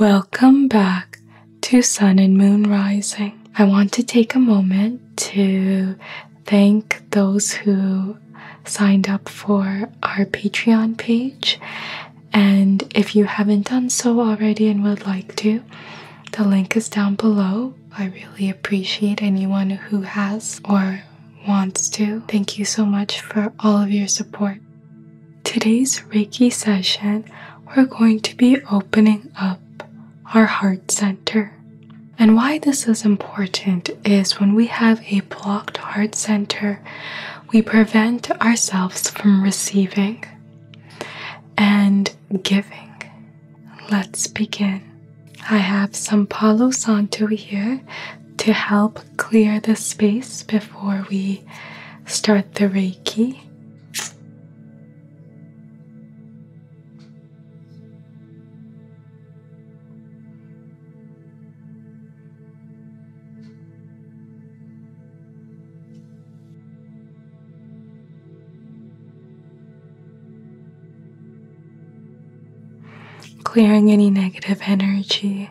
Welcome back to Sun and Moon Rising. I want to take a moment to thank those who signed up for our Patreon page. And if you haven't done so already and would like to, the link is down below. I really appreciate anyone who has or wants to. Thank you so much for all of your support. Today's Reiki session, we're going to be opening up our heart center. And why this is important is when we have a blocked heart center, we prevent ourselves from receiving and giving. Let's begin. I have some Palo Santo here to help clear the space before we start the Reiki. Clearing any negative energy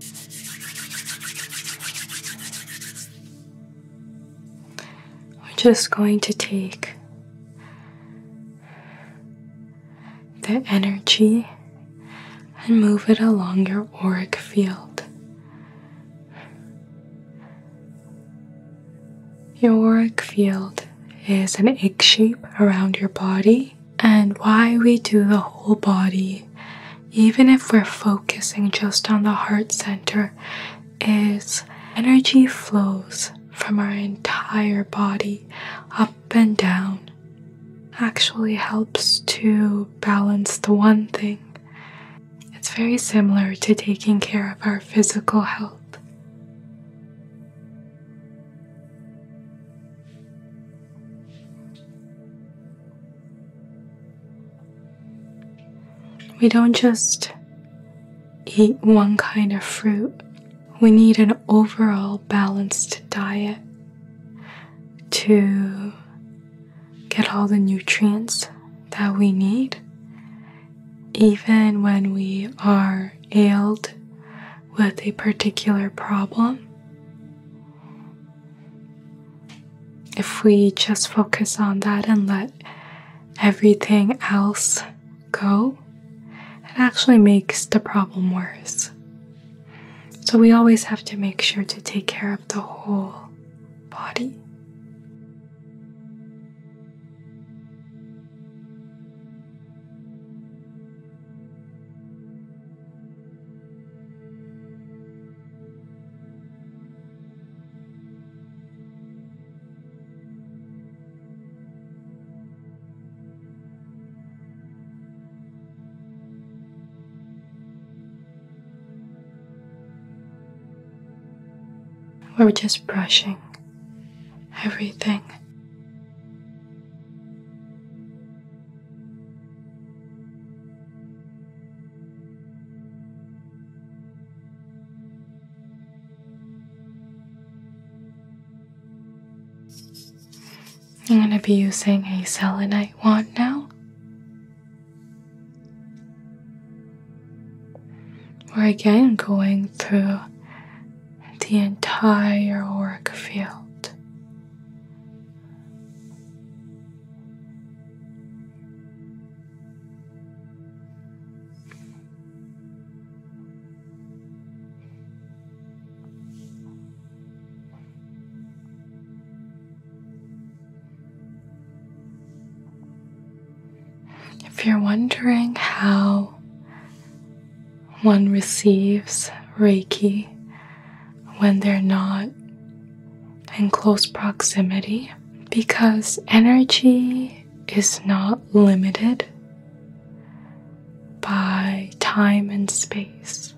We're just going to take the energy and move it along your auric field. Your auric field is an egg shape around your body, and why we do the whole body even if we're focusing just on the heart center, is energy flows from our entire body up and down. Actually, helps to balance the one thing. It's very similar to taking care of our physical health. We don't just eat one kind of fruit, we need an overall balanced diet to get all the nutrients that we need. Even when we are ailed with a particular problem, if we just focus on that and let everything else go, it actually makes the problem worse. So we always have to make sure to take care of the whole body. We're just brushing everything I'm going to be using a selenite wand now. We're again going through the entire auric field. If you're wondering how one receives Reiki, when they're not in close proximity because energy is not limited by time and space.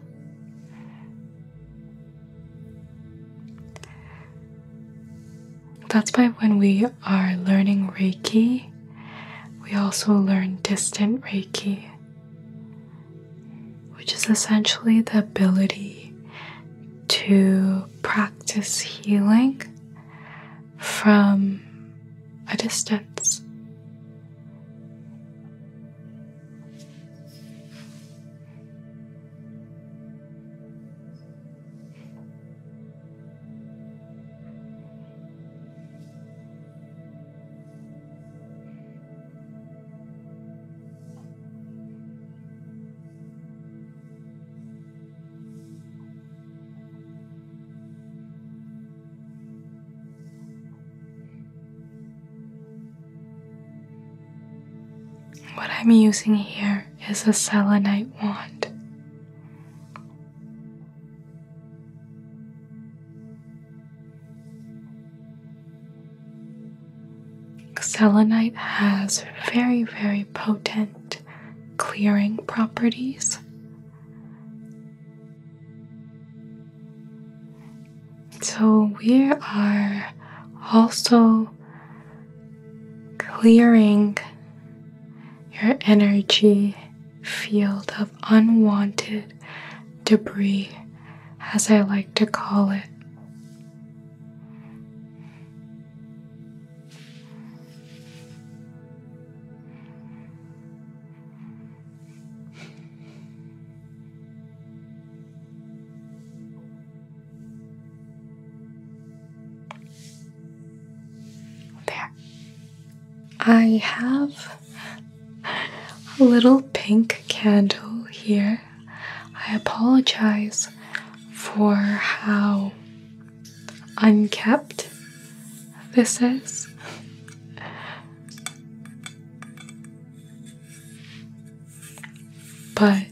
That's why when we are learning Reiki, we also learn distant Reiki which is essentially the ability to practice healing from a distance. What I'm using here is a selenite wand. Selenite has very, very potent clearing properties. So we are also clearing your energy field of unwanted debris, as I like to call it. There. I have a little pink candle here I apologize for how unkept this is. But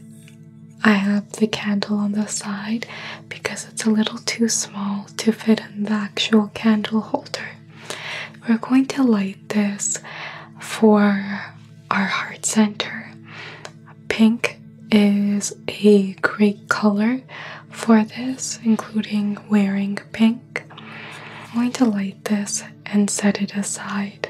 I have the candle on the side because it's a little too small to fit in the actual candle holder. We're going to light this for our heart center. Pink is a great color for this, including wearing pink. I'm going to light this and set it aside.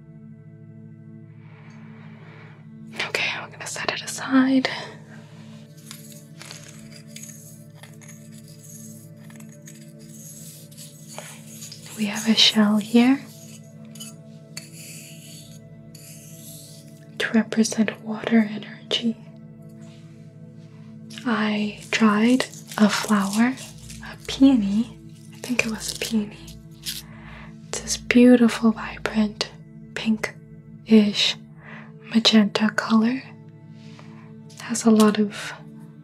Okay, I'm going to set it aside. We have a shell here to represent water energy. I dried a flower, a peony, I think it was a peony. It's this beautiful, vibrant pinkish magenta color. Has a lot of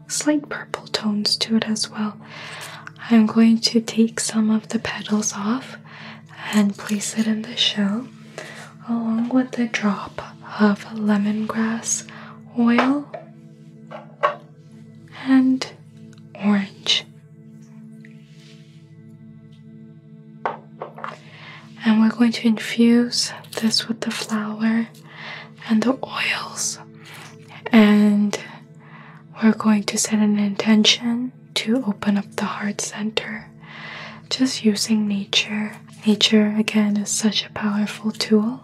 slight purple tones to it as well. I'm going to take some of the petals off and place it in the shell along with a drop of lemongrass oil and orange and we're going to infuse this with the flower and the oils. And we're going to set an intention to open up the heart center. Just using nature. Nature, again, is such a powerful tool.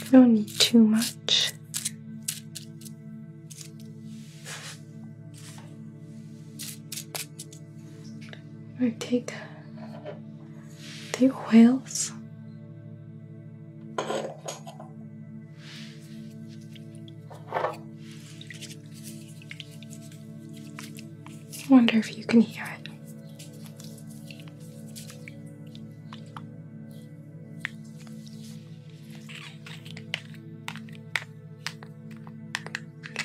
You don't need too much. Or take take whales. I wonder if you can hear it.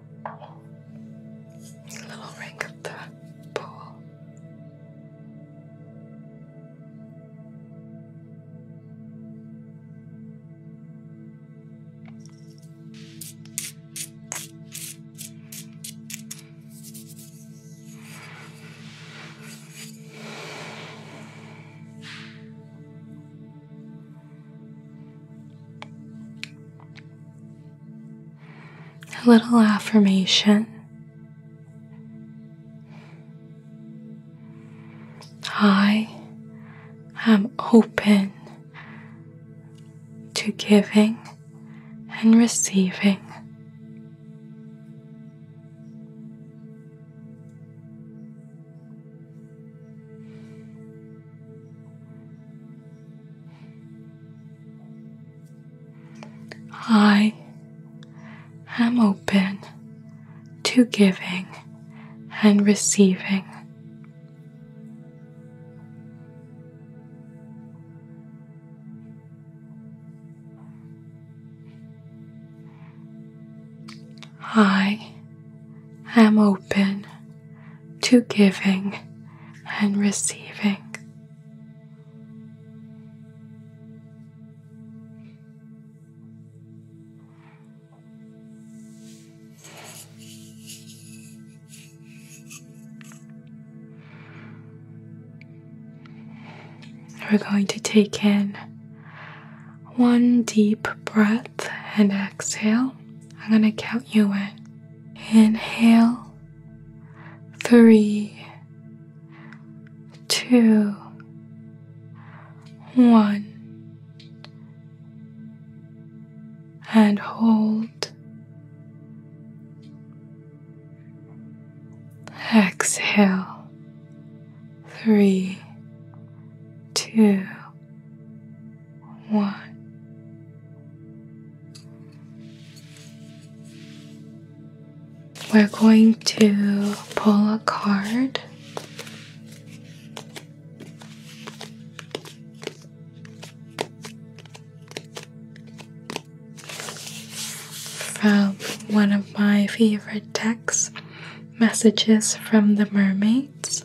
the little ring of the pool. A little affirmation. I am open to giving and receiving. I am open to giving and receiving. I am open to giving and receiving. We're going to take in one deep breath and exhale. I'm gonna count you in. Inhale, three, two, one, and hold. Exhale, three, two, one. We're going to pull a card. From one of my favorite texts, Messages from the Mermaids.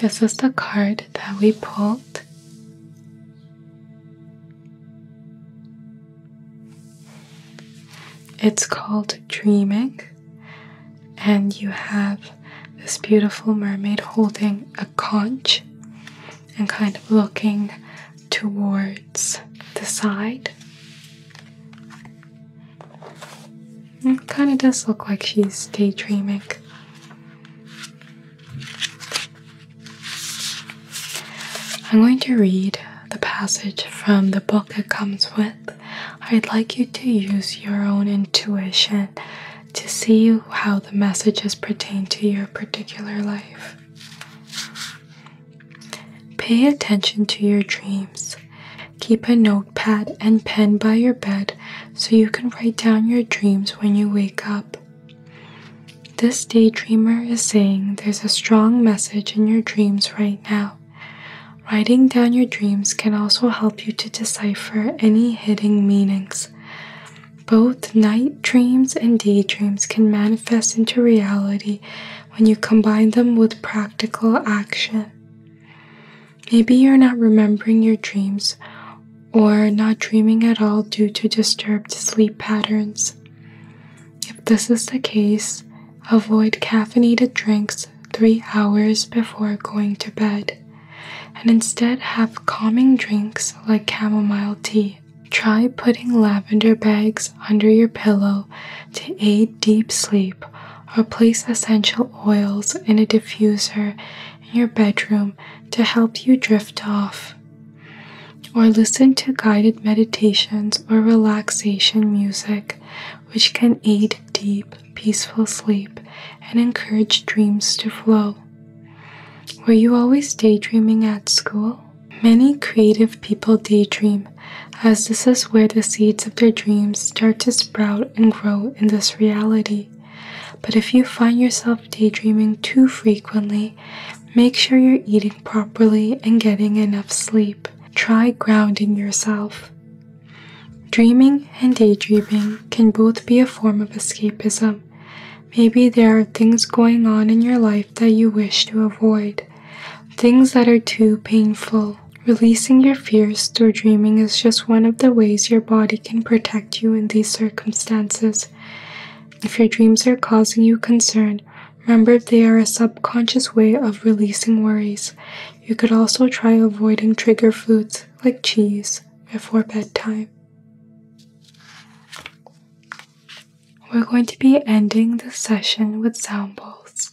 This is the card that we pulled. It's called Dreaming, and you have this beautiful mermaid holding a conch and kind of looking towards the side. It kind of does look like she's daydreaming. I'm going to read the passage from the book it comes with. I'd like you to use your own intuition to see how the messages pertain to your particular life. Pay attention to your dreams. Keep a notepad and pen by your bed so you can write down your dreams when you wake up. This daydreamer is saying there's a strong message in your dreams right now. Writing down your dreams can also help you to decipher any hidden meanings. Both night dreams and daydreams can manifest into reality when you combine them with practical action. Maybe you're not remembering your dreams or not dreaming at all due to disturbed sleep patterns. If this is the case, avoid caffeinated drinks three hours before going to bed and instead have calming drinks like chamomile tea. Try putting lavender bags under your pillow to aid deep sleep or place essential oils in a diffuser in your bedroom to help you drift off. Or listen to guided meditations or relaxation music, which can aid deep, peaceful sleep and encourage dreams to flow. Were you always daydreaming at school? Many creative people daydream, as this is where the seeds of their dreams start to sprout and grow in this reality. But if you find yourself daydreaming too frequently, make sure you're eating properly and getting enough sleep. Try grounding yourself. Dreaming and daydreaming can both be a form of escapism. Maybe there are things going on in your life that you wish to avoid, things that are too painful, Releasing your fears through dreaming is just one of the ways your body can protect you in these circumstances. If your dreams are causing you concern, remember they are a subconscious way of releasing worries. You could also try avoiding trigger foods like cheese before bedtime. We're going to be ending this session with sound balls.